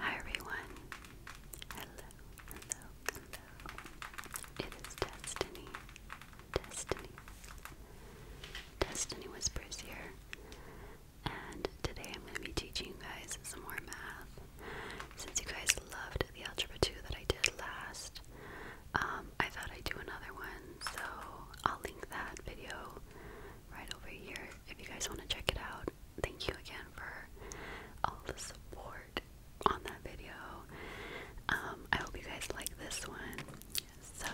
Hi everyone. Hello, hello, hello. It is Destiny. Destiny. Destiny Whispers here. And today I'm going to be teaching you guys some more math. Since you guys loved the Algebra 2 that I did last, um, I thought I'd do another one. So I'll link that video right over here if you guys want to check it out thank you again for all the support on that video. Um, I hope you guys like this one. So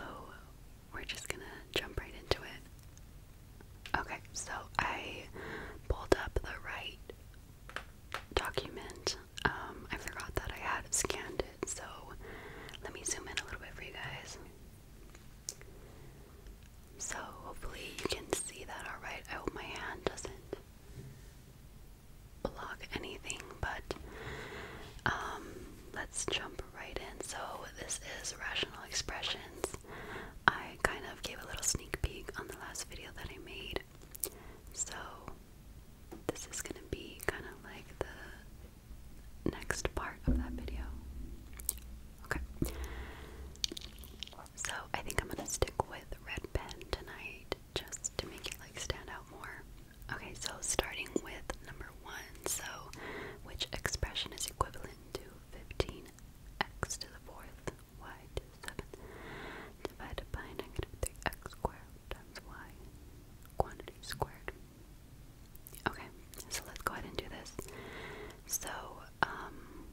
we're just gonna jump right into it. Okay, so I pulled up the right document. Um, I forgot that I had scanned it, so let me zoom in a little bit for you guys. So hopefully you can see that alright. I hope my hand doesn't block anything, but um, let's jump right in. So this is Rational Expressions. I kind of gave a little sneak peek on the last video that I made. So this is gonna be kind of like the next part of that video. Okay. So I think I'm gonna stick with red pen tonight just to make it like stand out more. Okay, so starting with number one, so which expression is equivalent to 15x to the fourth y to the seventh divided by negative 3x squared times y quantity squared? Okay, so let's go ahead and do this. So, um,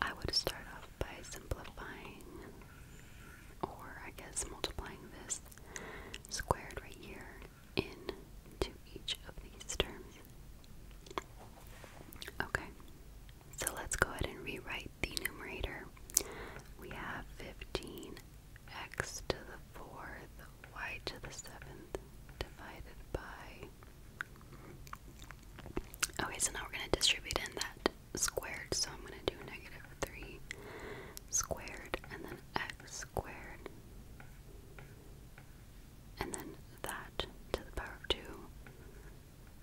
I would start off by simplifying, or I guess multiplying this squared right here into each of these terms. Okay, so let's go ahead and rewrite the numerator. We have 15x to the fourth y to the seventh divided by Okay, so now we're going to distribute in that squared. So I'm going to do negative 3 squared and then x squared. And then that to the power of 2.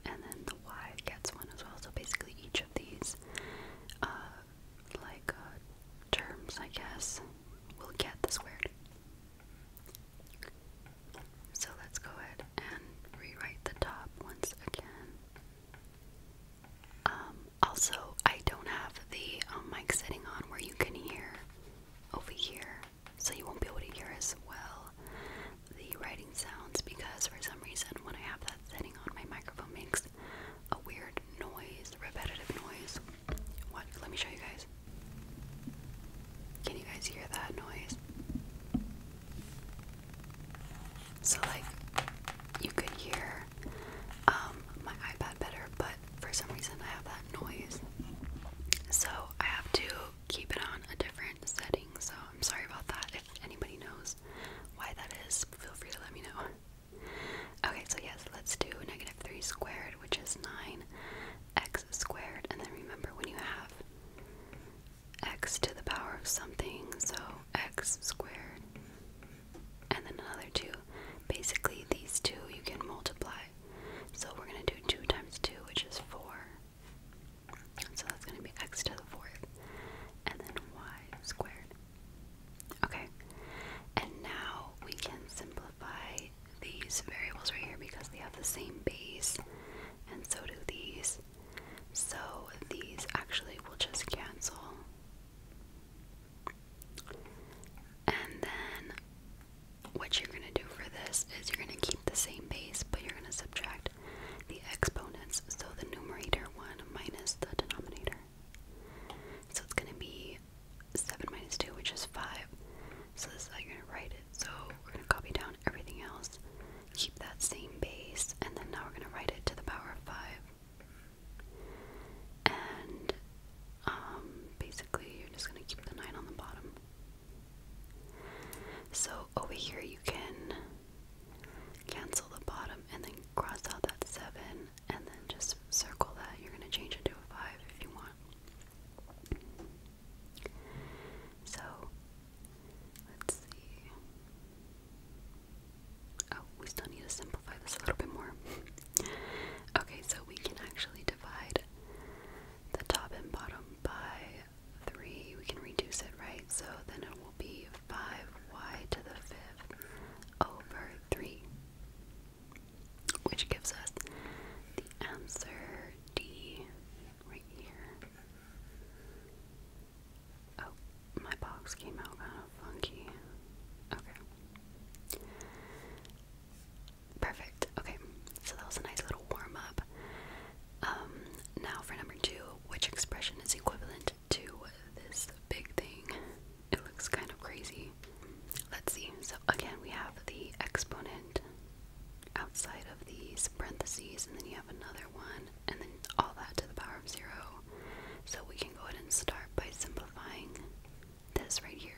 And then the y gets 1 as well. So basically each of these uh, like uh, terms, I guess, will get the squared. So let's go ahead and rewrite the top once again. Um, also, I don't have the um, mic setting on where you can hear over here, so you won't be able to hear as well the writing sounds because for some reason when I have that setting on, my microphone makes a weird noise, repetitive noise. What? Let me show you guys. Can you guys hear that noise? So, like, you could hear um, my iPad better, but for some reason I have that noise. So, I have to keep it on a different setting. So, I'm sorry about that. If anybody knows why that is, feel free to let me know. Okay, so yes, let's do negative 3 squared, which is 9 x squared. And then remember when you have x to the power of something, so x squared, and then another 2. Basically, these two you can multiply. So we're going to do 2 times 2, which is 4. So that's going to be x to the fourth, and then y squared. Okay, and now we can simplify these variables right here because they have the same base and so do these. So these actually will just cancel. And then what you're going to do for this is you're going to keep the same base, but you're going to subtract the exponents. So the numerator 1 minus the denominator. So it's going to be 7 minus 2, which is 5. So this is how you're going to write it. So we're going to copy down everything else, keep that same base, and then now we're going to write it to the power of 5. And um, basically, you're just going to keep the 9 on the bottom. So over here, you can cancel the bottom and then cross out that 7 and then just circle that. You're going to change it to a 5 if you want. So, let's see. Oh, we still need to simplify this a little bit more. okay, so we can actually divide the top and bottom by 3. We can reduce it, right? So then it will be 5y to the fifth over 3 which gives us the answer D right here. Oh, my box came out kind of funky. Okay. Perfect. Okay, so that was a nice little warm up. Um, now for number two, which expression is equivalent to this big thing? It looks kind of crazy. Let's see. So again, we have the exponent outside of these parentheses, and then you have another one, and then all that to the power of zero. So we can go ahead and start by simplifying this right here.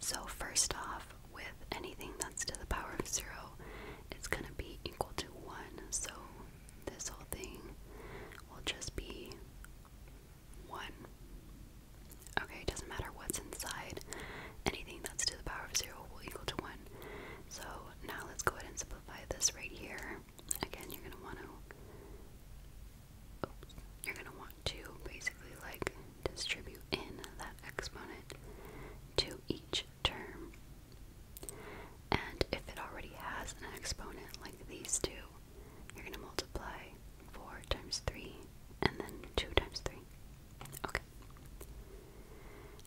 So first off, with anything that's to the power of zero, it's going to be equal to one. So this whole thing will just be one. Okay, it doesn't matter what's inside. Anything that's to the power of zero will equal to one. So now let's go ahead and simplify this right here. Again, you're gonna want to. you're gonna want to basically like distribute in that exponent to each term. And if it already has an exponent like these two, you're going to multiply 4 times 3 and then 2 times 3. Okay.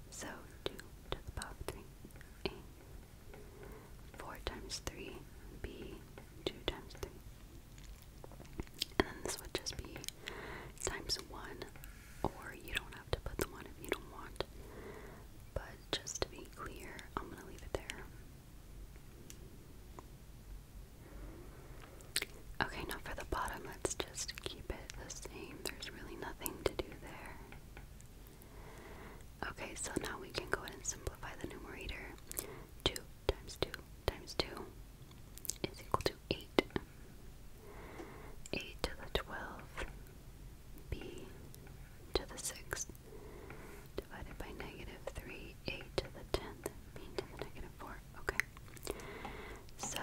So 2 to the power of 3, A. 4 times 3, B. 2 times 3. And then this would just be times 1, or you don't have to put the 1 if you don't want. But just to be clear, I'm going to leave it there Okay, now for the bottom, let's just keep it the same. There's really nothing to do there. Okay, so now we can go ahead and simplify the numerator. 2 times 2 times 2 is equal to 8. 8 to the twelfth. b to the sixth divided by negative 3, 8 to the 10th, 4. Okay. So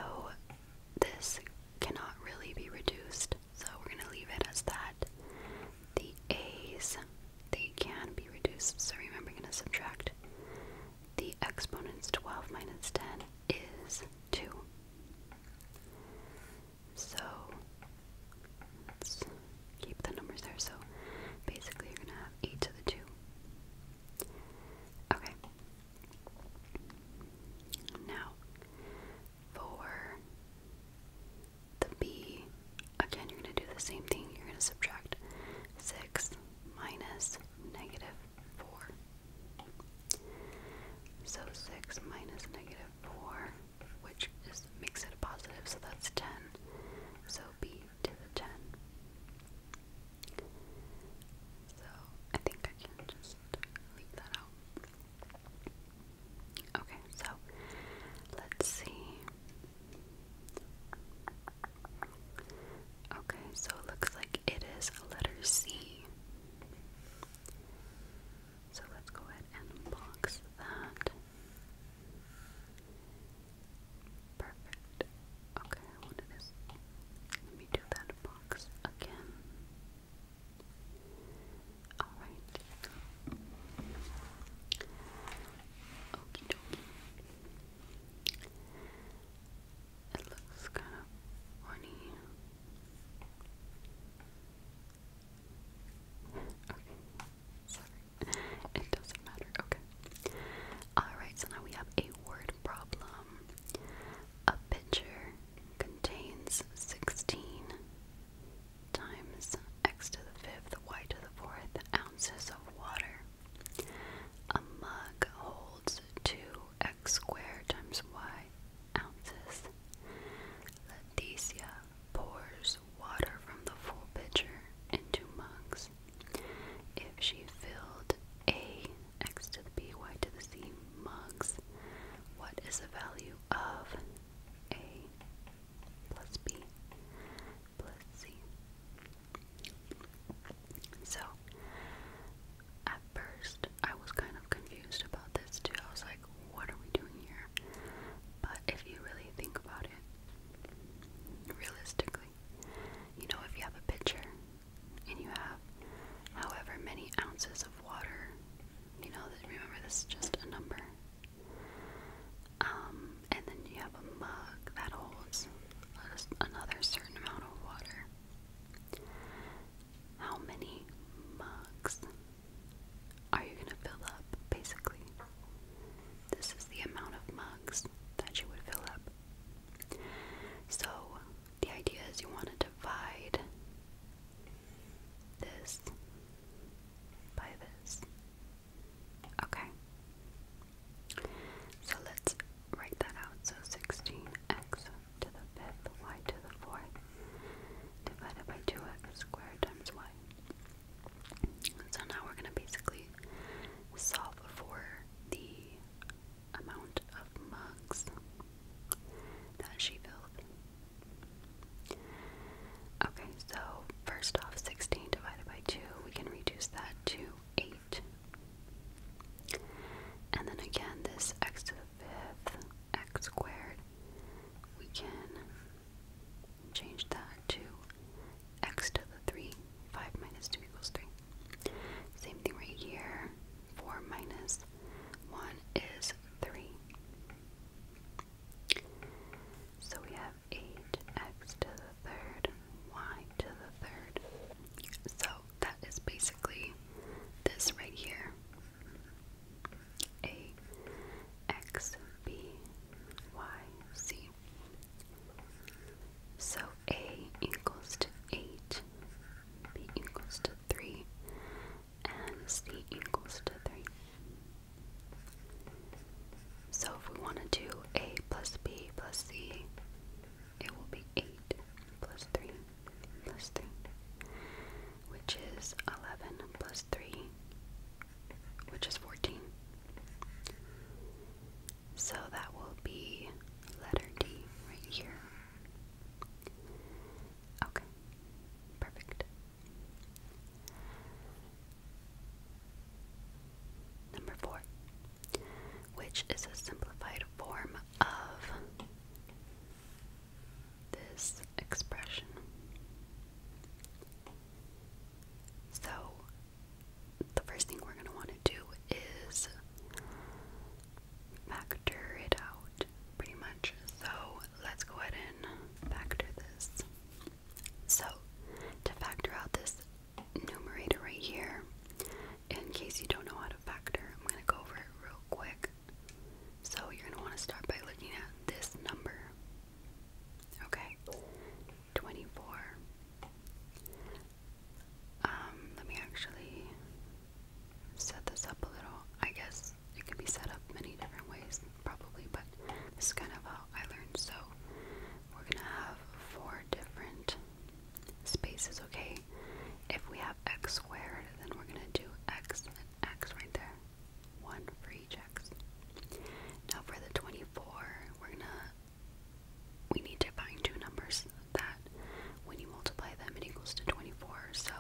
this cannot really be reduced, so we're going to leave it as that. The a's, they can be reduced, so remember I'm going to subtract. The exponents 12 minus 10 is 2. So, keep the numbers there. So basically, you're gonna have 8 to the 2. Okay. Now, for the b, again, you're going to do the same thing. You're going to subtract 6 minus negative 4. So 6 minus negative 4, which makes it a positive, so that's 10. So b ten. So I think I can just leave that out. Okay, so let's see. Okay, so looks like it is a letter C. So let's go ahead and box that. Perfect. Okay, I wanted this. do that box again. Alright. Okie dokie. It looks kind of funny. Okay. Sorry. It doesn't matter. Okay. Alright, so now we have a word problem. A pitcher contains 16 times x to the fifth, y to the fourth ounces of water. A mug holds 2x squared times y ounces. Leticia pours water from the full pitcher into mugs if she filled A x to the b, y to the c mugs, what is the value of A plus B plus C? So, at first, I was kind of confused about this too. I was like, what are we doing here? But if you really think about it, realistically, you know, if you have a pitcher and you have however many ounces of water, you know, that, remember this is just a number. Um, and then you have a mug that holds another certain amount of water. How many mugs are you going to fill up, basically? this is the amount of mugs that you would fill up. So, the idea is you want to divide this by this. Okay. So let's write that out. So 16x to the fifth, y to the fourth, divided by 2x squared times y. So now we're going to basically solve for the amount of mugs that she filled. Okay, so first off, 16 divided by 2, we can reduce that to 8. And then again, this x to the fifth, x squared, we can change that to x to the 3, 5 minus 2 equals 3. Same thing right here, 4 minus 1 is 3. So we have 8x to the third, y to the third. So that is basically this right here. A, x, b y z. So a equals to 8, b equals to 3, and c equals to 3. So if we want to do a plus b plus c, it will be 8 plus 3 plus 3, which is 11 plus 3 which is 14. So that will be letter D right here. Okay, perfect. Number four, which is a simplified form of this expression. So the first thing we're going to want to do is factor it out pretty much. So let's go ahead and factor this. So to factor out this numerator right here, in case you don't know how to factor, I'm going to go over it real quick. So you're going to want to start by looking at this number. Okay, 24. Um, let me actually set this up a little. I guess it can be set up many different ways, probably, but this is kind of how I learned. So, we're gonna have four different spaces, okay? If we have x squared, then we're gonna do x x right there. One for each x. Now, for the 24, we're gonna we need to find two numbers that when you multiply them it equals to 24. So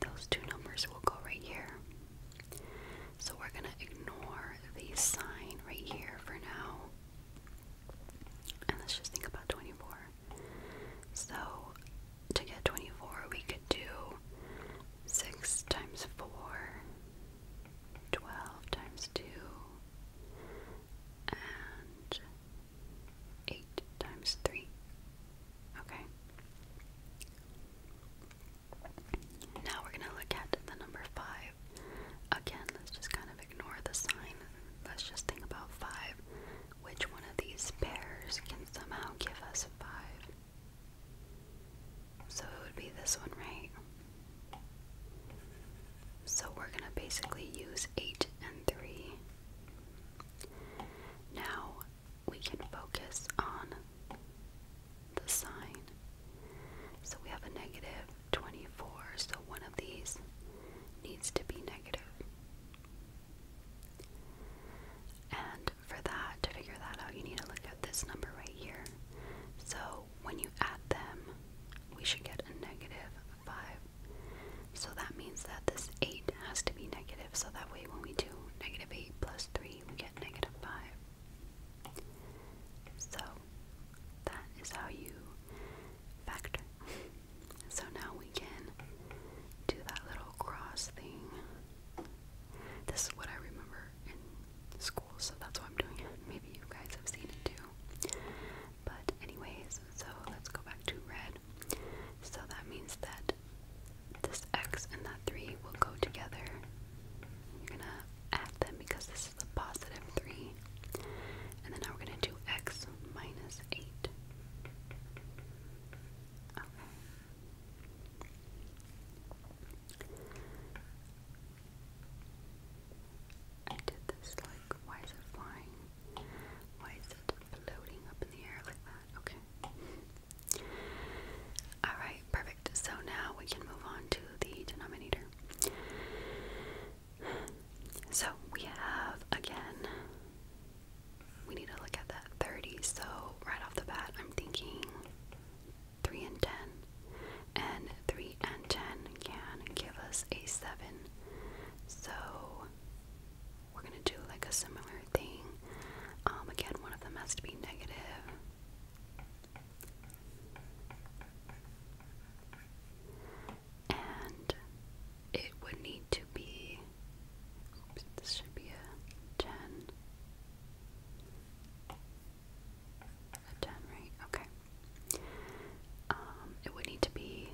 those two numbers will go right here. So we're going to ignore the sign right here for now. And let's just think about 24. So to get 24, we could do 6 times 4 12 times 2 and 8 times 3. Okay. Now we're going to look at the number 5. Again, let's just kind of ignore the sign. Let's just think about 5. Which one of these pairs can somehow give us 5? So it would be this one, right? So we're going to basically use 8 and 3. Now we can focus on the sign. So we have a negative 24, so one of these needs to be negative. And for that, to figure that out, you need to look at this number right here. So when you add them, we should get a negative 5. So that means that this 8 has to be negative, so that way when we do negative 8 plus 3, we get negative 5. So that is how you factor. So now we can do that little cross thing. This is what I remember in school so that's why I'm doing it. Maybe you guys have seen it too. But, anyways, so let's go back to red. So that means that this x and that 3 will go together. You're gonna add them because this is a positive 3. And then now we're gonna do x minus 8. Okay. I did this like, why is it flying? Why is it floating up in the air like that? Okay. Alright, perfect. So now we can move on to the denominator. So we have, again, we need to look at that 30. So right off the bat, I'm thinking 3 and 10, and 3 and 10 can give us a 7. So we're going to do like a similar thing. Um, again, one of them has to be negative. And it would need to be, this should be a 10. A 10, right? Okay. Um, it would need to be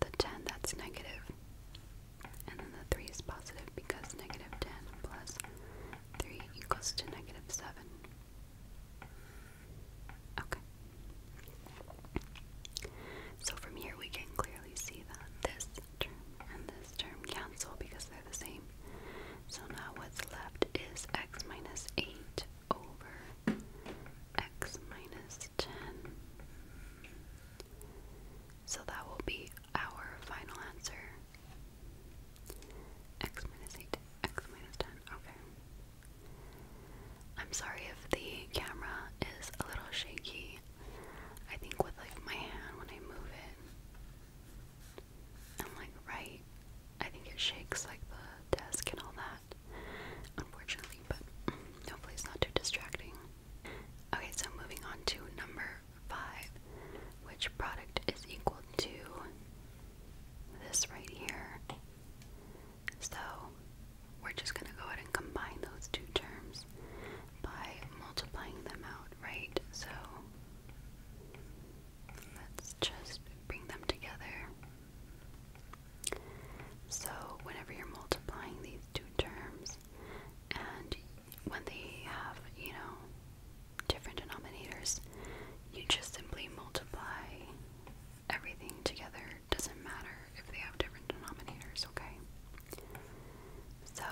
the 10 that's negative, and then the 3 is positive because negative 10 plus 3 equals to negative 7. Okay. So from here we can clearly see that this term and this term cancel because they're the same. So now what's left is x minus 8 over x minus 10. So that will be our final answer. X minus 8, x minus 10. Okay. I'm sorry if the camera is a little shaky. I think with like my hand when I move it, I'm like, right. I think it shakes like the desk and all that, unfortunately, but hopefully it's not too distracting. Okay, so moving on to number five, which product is equal to this right here. So we're just gonna go ahead and combine those two terms by multiplying them out, right? So Let's just bring them together. So, whenever you're multiplying these two terms, and when they have, you know, different denominators, you just simply multiply everything together. Doesn't matter if they have different denominators, okay? So,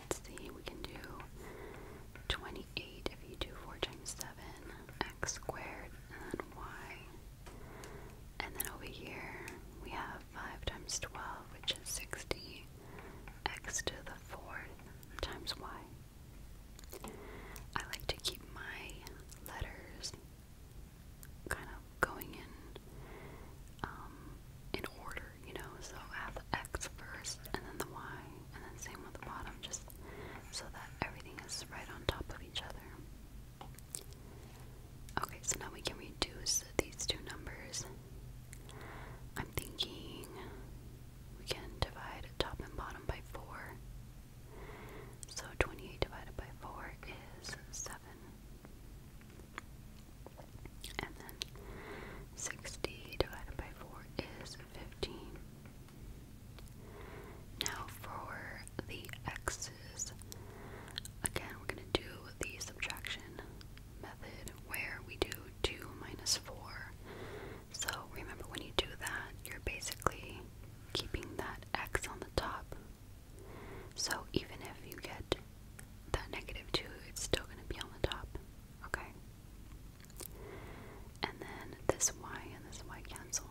let's see, we can do 28 if you do 4 times 7, x squared, and then y. And then over here, we have 5 times 12, which is 60, x to the 4th times y. I like to keep my letters kind of going in um, in order you know, so I the X first and then the Y, and then same with the bottom, just so that everything is right on top of each other. Okay, so now we can reduce these two numbers. I'm thinking we can divide top and bottom by 4. So 28 divided by 4 is 7. And then 60 divided by 4 is fifteen. Now for the x's. Again, we're going to do the subtraction method where we do 2 minus 4. So remember, when you do that, you're basically keeping that x on the top. So even if you get that negative 2, it's still going to be on the top. Okay? And then this Y and this Y cancel.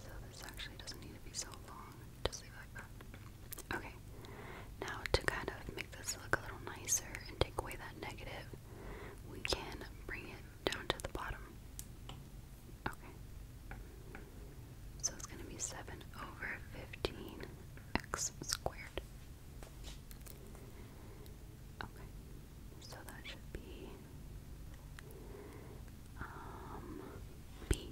So this actually doesn't need to be so long. Just leave like that. Okay. Now to kind of make this look a little nicer and take away that negative, we can bring it down to the bottom. Okay. So it's going to be 7 over 15x squared. Okay, so that should be um, B.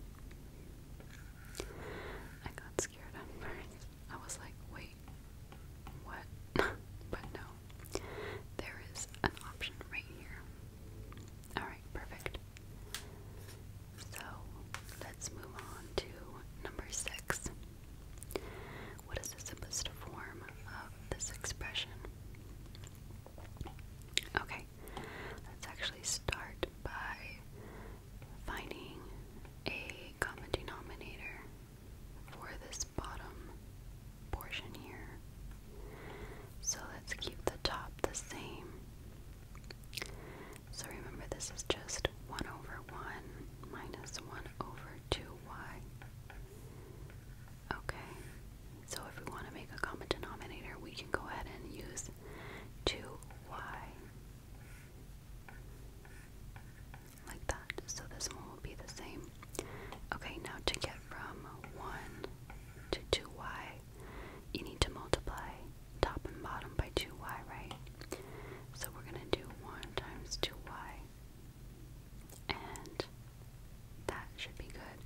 I got scared at first. I was like, wait, what? but no, there is an option right here. Alright, perfect. So let's move on to number six. What is the simplest form of this expression? Okay, let's actually start by finding a common denominator for this bottom portion here. So let's keep the top the same. So remember this is just 1 over 1 minus 1 over 2y. Okay, so if we want to make a common denominator, we can go ahead and use 2y. Like that, so this one will be the same. Okay, now to get from 1 to 2y, you need to multiply top and bottom by 2y, right? So we're going to do 1 times 2y. And that should be good.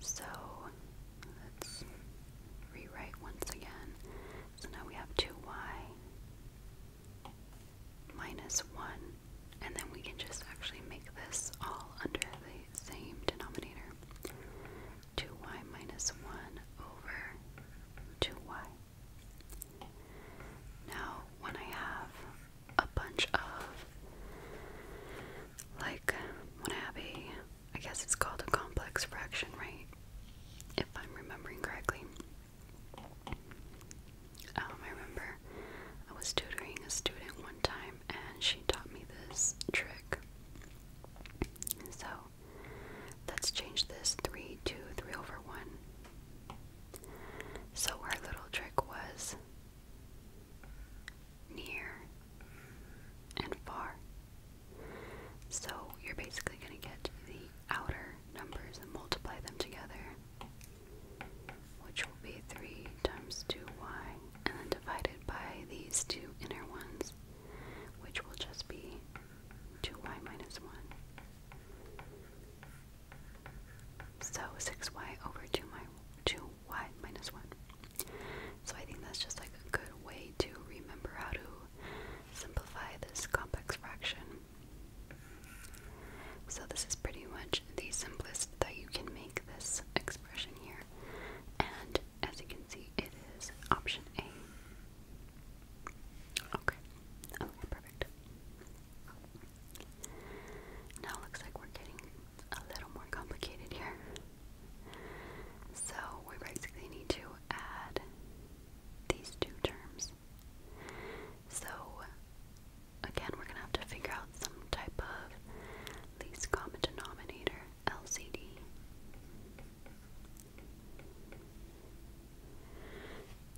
So let's rewrite once again. So now we have 2y minus 1. And then we can just actually make this all under the same denominator. 2y minus 1 over 2y. Now, when I have a bunch of, like, when I have a, I guess it's called a complex fraction, right? If I'm remembering correctly. Um, I remember I was tutoring a student one time and she taught me this trick. So Let's change this 3 to 3 over 1. So our little trick was near and far. So you're basically going to get the outer numbers and multiply them together, which will be 3 times 2y, and then divided by these two inner ones, which will just be 2y minus 1. So 6y over 2 my, 2y minus 1. So I think that's just like a good way to remember how to simplify this complex fraction. So this is pretty much the simplest that you can make this expression here. And as you can see, it is option A. Okay. Okay, perfect. Now looks like we're getting a little more complicated here. So we basically need to add these two terms. So again, we're gonna have to figure out some type of least common denominator, LCD.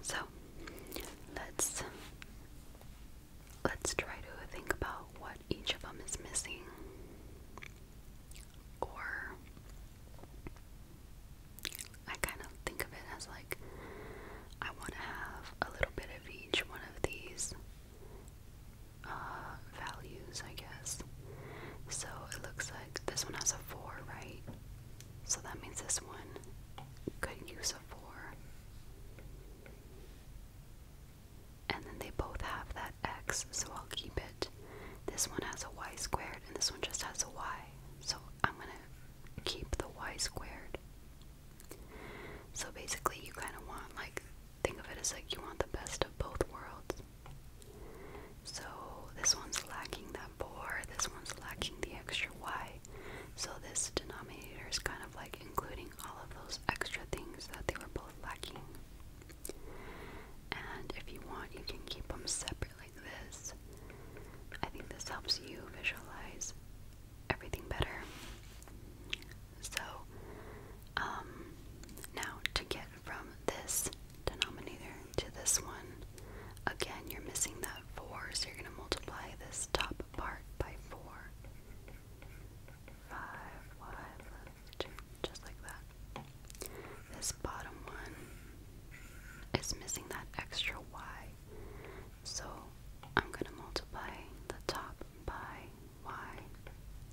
So let's let's try to think about what each of them is missing or I kind of think of it as like I want to have a little bit of each one of these uh, values, I guess. So it looks like this one has a 4, right? So that means this one could use a 4. And then they both have that x, so I'll keep it. This one has a y squared, and this one just has a y. So I'm going to keep the y squared. So basically, you kind of want, like, think of it as like you want the best of both worlds. So this one's lacking that bore, this one's lacking the extra y. So this denominator is kind of like including all of those extra things that they were both lacking. And if you want, you can keep them separate like this. I think this helps you visualize everything better. So, um, now to get from this denominator to this one. Again, you're missing that 4, so you're going to multiply this top part by 4. 5, y 2, just like that. This bottom one is missing that extra y, so I'm going to multiply the top by y,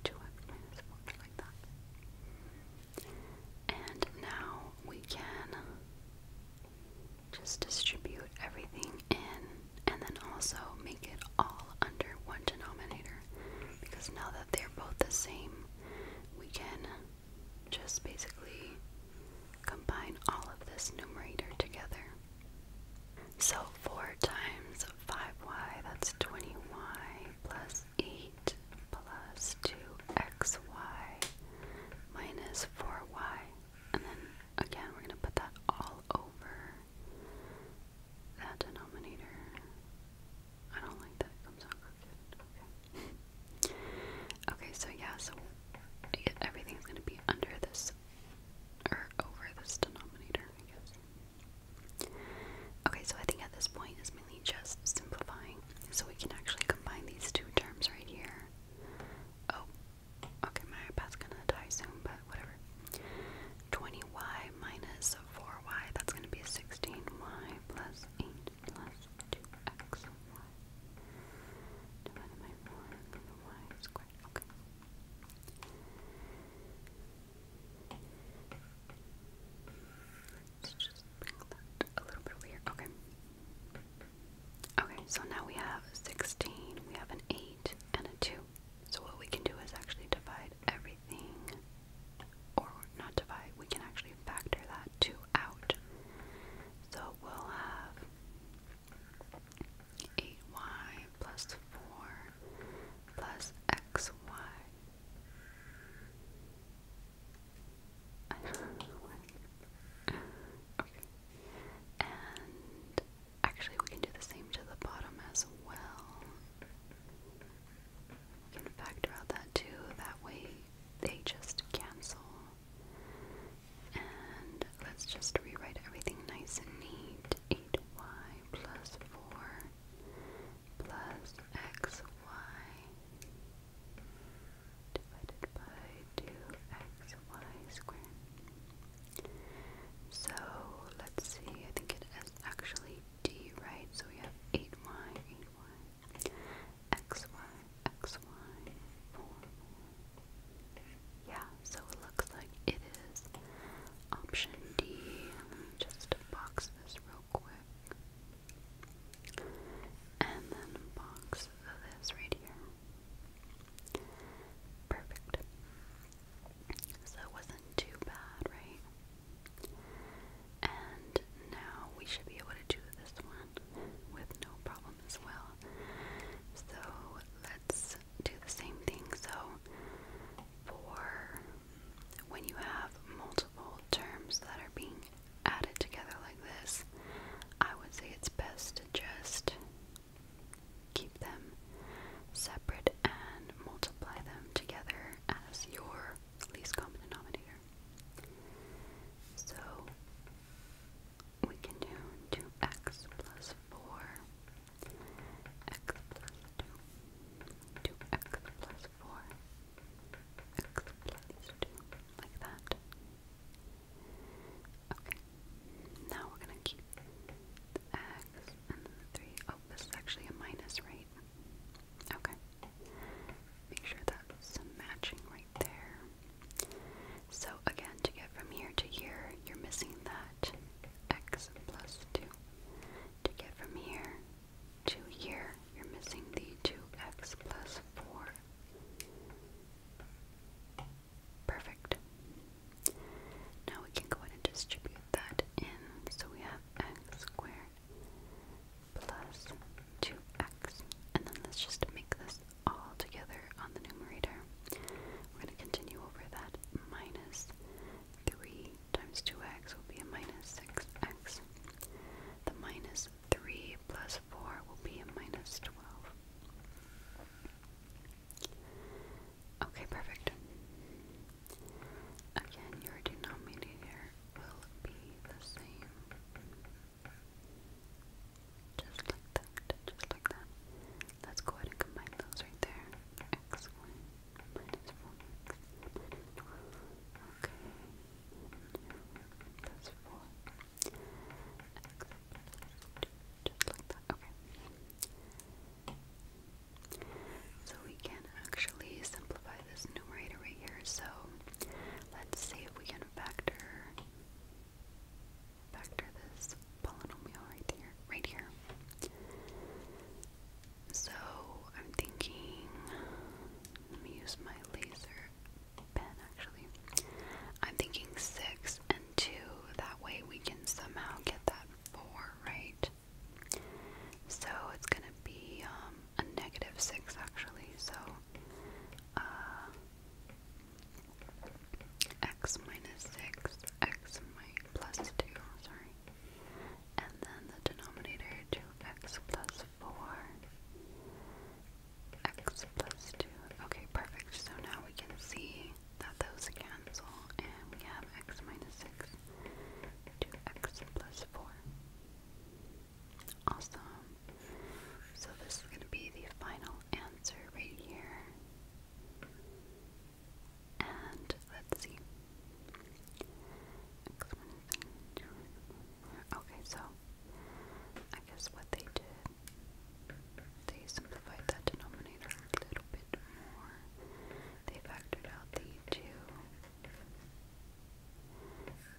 2x minus 4, like that. And now we can just distribute everything in and then also make it all under one denominator because now that they're both the same, we can just basically combine all of this numerator together. So 4 times 5y, that's 20y, plus 8 plus 2xy minus 4y. And then again, we're going to put that all over that denominator. I don't like that comes out crooked. Okay. okay, so yeah, so everything's going to be under this or over this denominator, Okay, so I think at this point, as my just simplifying. So we can actually combine these two terms right here. Oh, okay, my iPad's gonna die soon, but whatever. 20y minus 4y, that's gonna be 16y plus 8 plus 2xy. Divided y squared. Okay just a little bit over Okay. Okay, so now we have 16, we have an 8, and a 2. So what we can do is actually divide everything, or not divide, we can actually factor that 2 out. So we'll have 8y plus 4 plus xy and actually, we can do the same to the bottom as well. We can factor out that too. That way, they just cancel. And let's just rewrite everything nice and neat. 8y plus 4 plus xy divided by 2xy squared. So let's see, I think it is actually d, right? So we have 8y, 8y, xy, 4. Yeah, so it looks like it is option D. just box this real and then box this right here. Perfect. So it wasn't too bad, right? And now we should be able to do this one with no problem as well. So let's do the same thing. So for when you have multiple terms that are being added together like this, I would say it's best to just keep them separate and multiply them together as your least common denominator. So we can do 2x plus 4, x plus 2, 2x plus 4 like that. Okay. Now we're gonna keep X and three. Oh, this is actually a minus, right? Okay. Make sure that's matching right there. So again, to get from here to here, you're missing that X plus two. To get from here to here, you're missing the two X plus four Perfect. Now we can go ahead and distribute that in. So we have x squared plus 2x. And then let's just make this all together on the numerator. We're going to continue over that. Minus 3 times 2x will be a minus 6x. The minus 3 plus 4 will be a minus 12. Okay, perfect. Again, your denominator will be the same. Just like that, just like that. Let's go ahead and combine those right there. X1 Okay, so we can actually simplify this numerator right here. So let's see if we can factor factor this polynomial right here. Right here. So I'm thinking let me use my laser actually. I'm thinking six and two. That way we can somehow get that four, right? So it's gonna be um, a negative six actually. So uh, x minus six, x minus plus two. Sorry. And then the denominator 2x plus 4 x plus 2. Okay, perfect. So now we can see that those cancel, and we have x minus 6 to x plus 4. Awesome. So this is going to be the final answer right here. And let's see. Okay, so I guess what they did, they simplified that denominator a little bit more. They factored out the 2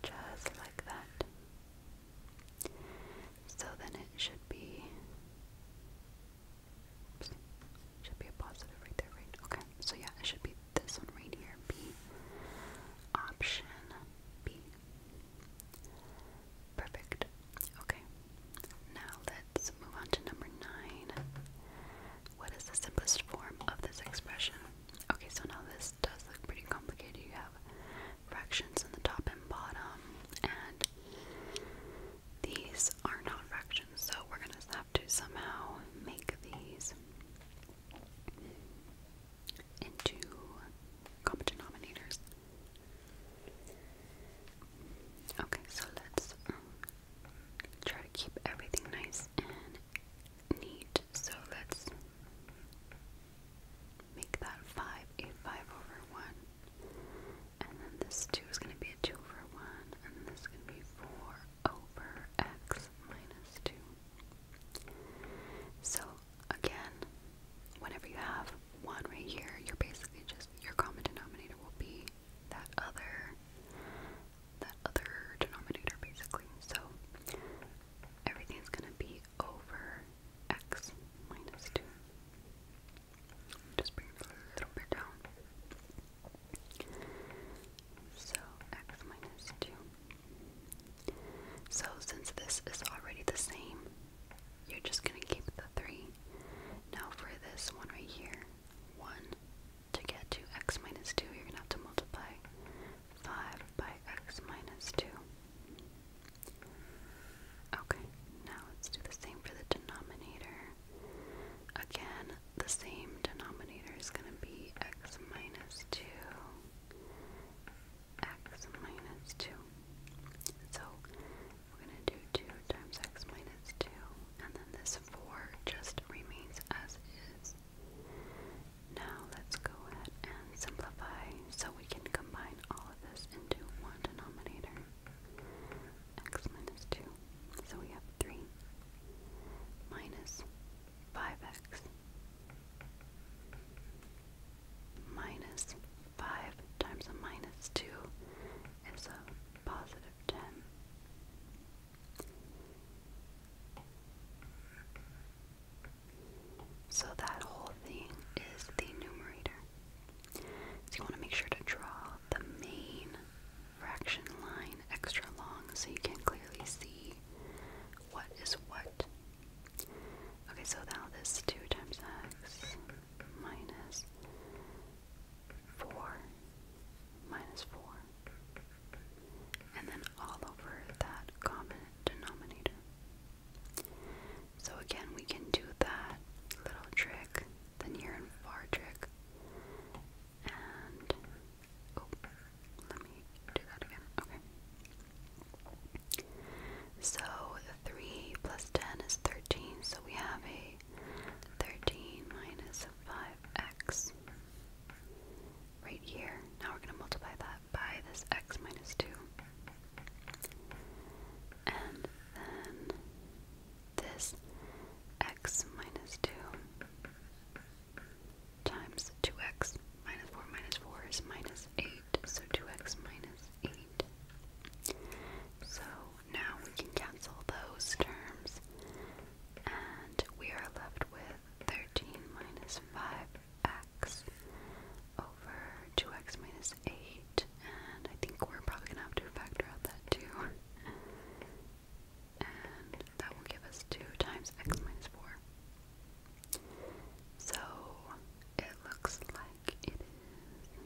just like that. So then it should be should be a positive right there, right? Okay. So yeah, it should be this one right here. B option B. Perfect. Okay. Now let's move on to number nine. What is the simplest form of this expression? Okay, so now this does look pretty complicated. You have fractions in the top and bottom, and these are not fractions, so we're gonna have to somehow make these into common denominators. Okay, so let's um, try to keep everything nice and neat. So let's make that 5 a 5 over 1. And then this 2 is going to be a 2 over 1. And this is going to be 4 over x minus 2. So again, whenever you have one right here, you're basically just your common denominator will be that other that other denominator basically. So everything's gonna be over x minus two. Just bring it a little bit down. So x minus two so since this is already the same, you're just going to keep the 3. Now for this one right here, 1, to get to x minus 2, you're going to have to multiply 5 by x minus 2. Okay, now let's do the same for the denominator. Again, the same denominator is going to be x minus 2 x minus 2. So we're going to do 2 times x minus 2, and then this 4 just remains as is. Now let's go ahead and simplify so we can combine all of this into one denominator. x minus 2. So we have 3 minus 5x minus 5 times a minus 2 is a positive 10. So that whole thing is the numerator. So you want to make sure to draw the main fraction line extra long so you can clearly see what is what Okay, so now this 2 times x minus 4 minus 4. And then all over that common denominator. So again, we can do that little trick, the near and far trick, and Oh, so 3 plus 10 is 13. So we have a 13 minus 5x right here. Now we're going to multiply that by this x minus 2. And then this x minus 2 times 2x minus 4 minus 4 is minus 8, so 2x minus 8. So now we can cancel those terms, and we are left with 13 minus 5x over 2x minus 8, and I think we're probably going to have to factor out that too. And that will give us 2 times x minus 4. So it looks like it is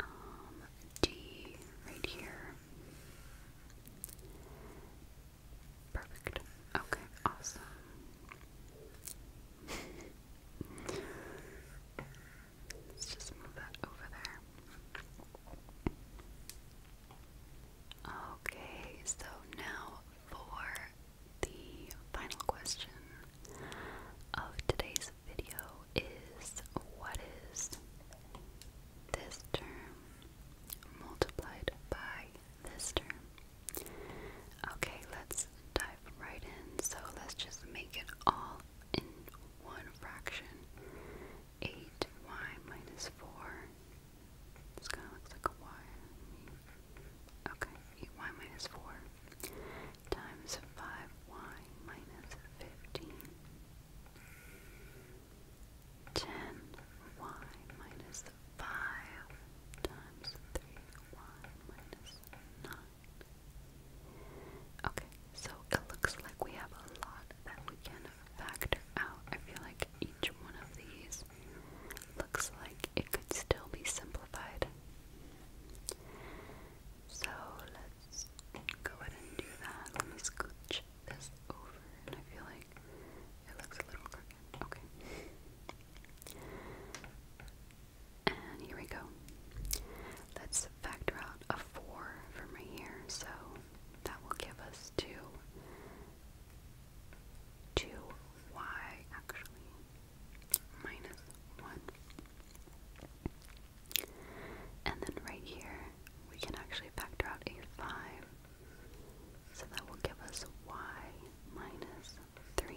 um, D right here. Perfect. Okay, awesome. Let's just move that over there. Okay, so now for the final question of today's video is what is this term multiplied by this term? Okay, let's dive right in. So let's just make it all in one fraction. 8y minus 4 this kind of looks like a y. Okay, minus 4 times 5y minus 15. minus 5 times 3y minus 9. Okay, so it looks like we have a lot that we can factor out. I feel like each one of these Looks like it could still be simplified. So let's go ahead and do that. Let me scooch this over, and I feel like it looks a little crooked. Okay. And here we go. Let's factor out a 4 from right here, so that will give us 2 2y actually minus 1. And then right here we can actually factor out a 5. So that will give us y minus 3.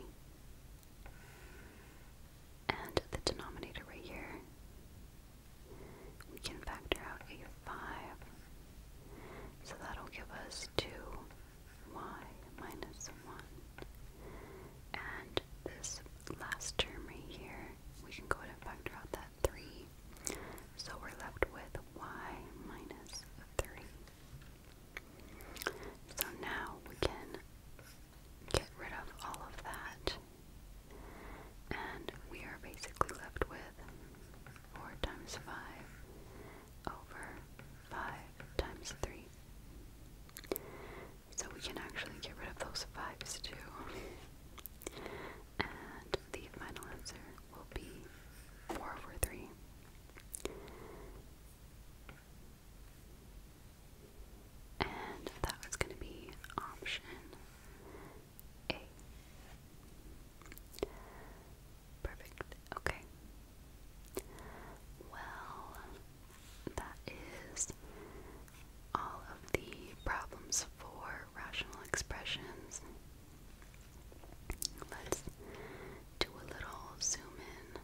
And the denominator right here, we can factor out a 5 so that'll give us 2y minus 1. And this last term right here, we can go ahead and factor out that 3. So we're left with y minus 3. So now we can get rid of all of that. And we are basically left with 4 times 5 over 5 times 3. So we can actually get rid of those 5's too. And the final answer will be 4 over 3. And that was going to be option A. Perfect. Okay. Well, that is all of the problems for rational expressions. Let's do a little zoom in.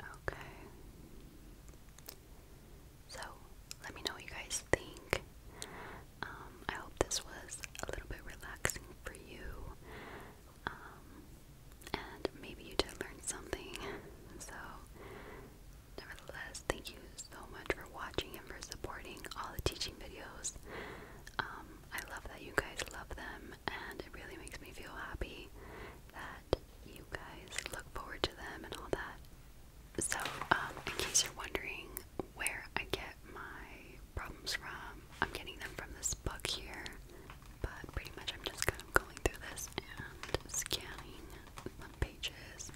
Okay. So, let me know what you guys think. Um, I hope this was a little bit relaxing for you. Um, and maybe you did learn something. So, nevertheless, thank you so much for watching and for supporting all the teaching videos. Um, I love that you guys love them, and it really makes me feel happy that you guys look forward to them and all that. So, in case you're wondering where I get my problems from. I'm getting them from this book here, but pretty much I'm just kind of going through this and scanning the pages.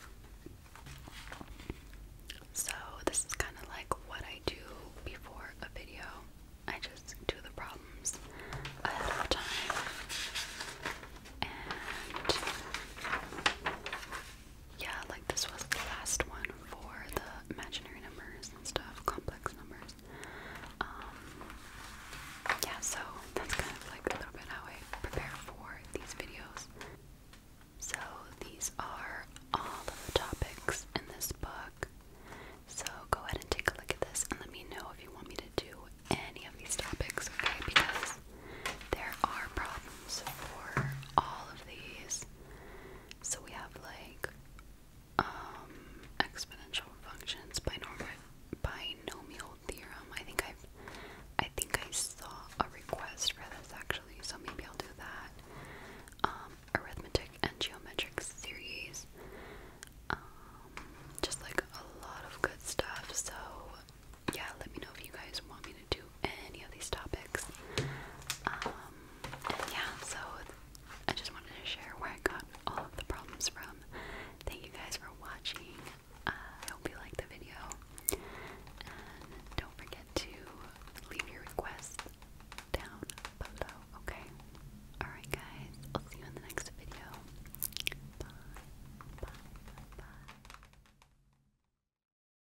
So, this is kind of like what I do before a video. I just do the problems ahead of time. Yeah, like this was the last one for the imaginary numbers and stuff, complex numbers. Um, yeah, so that's kind of like a little bit how I prepare for these videos. So these are all the topics in this book. So go ahead and take a look at this and let me know if you want me to do any of these topics, okay? Because there are problems for all of these. So we have like um, exponential functions, binomial binomial theorem. I think i I think I saw a request for this actually, so maybe I'll do that. Um, arithmetic and geometric series. Um, just like a lot of good stuff. So yeah, let me know if you guys want me to do any of these topics. Um, yeah, so I just wanted to share where I got all of the problems from. Thank you guys for watching. Uh, I hope you liked the video. don't forget to leave your requests down below, okay? Alright, guys, I'll see you in the next video. Bye, bye, bye.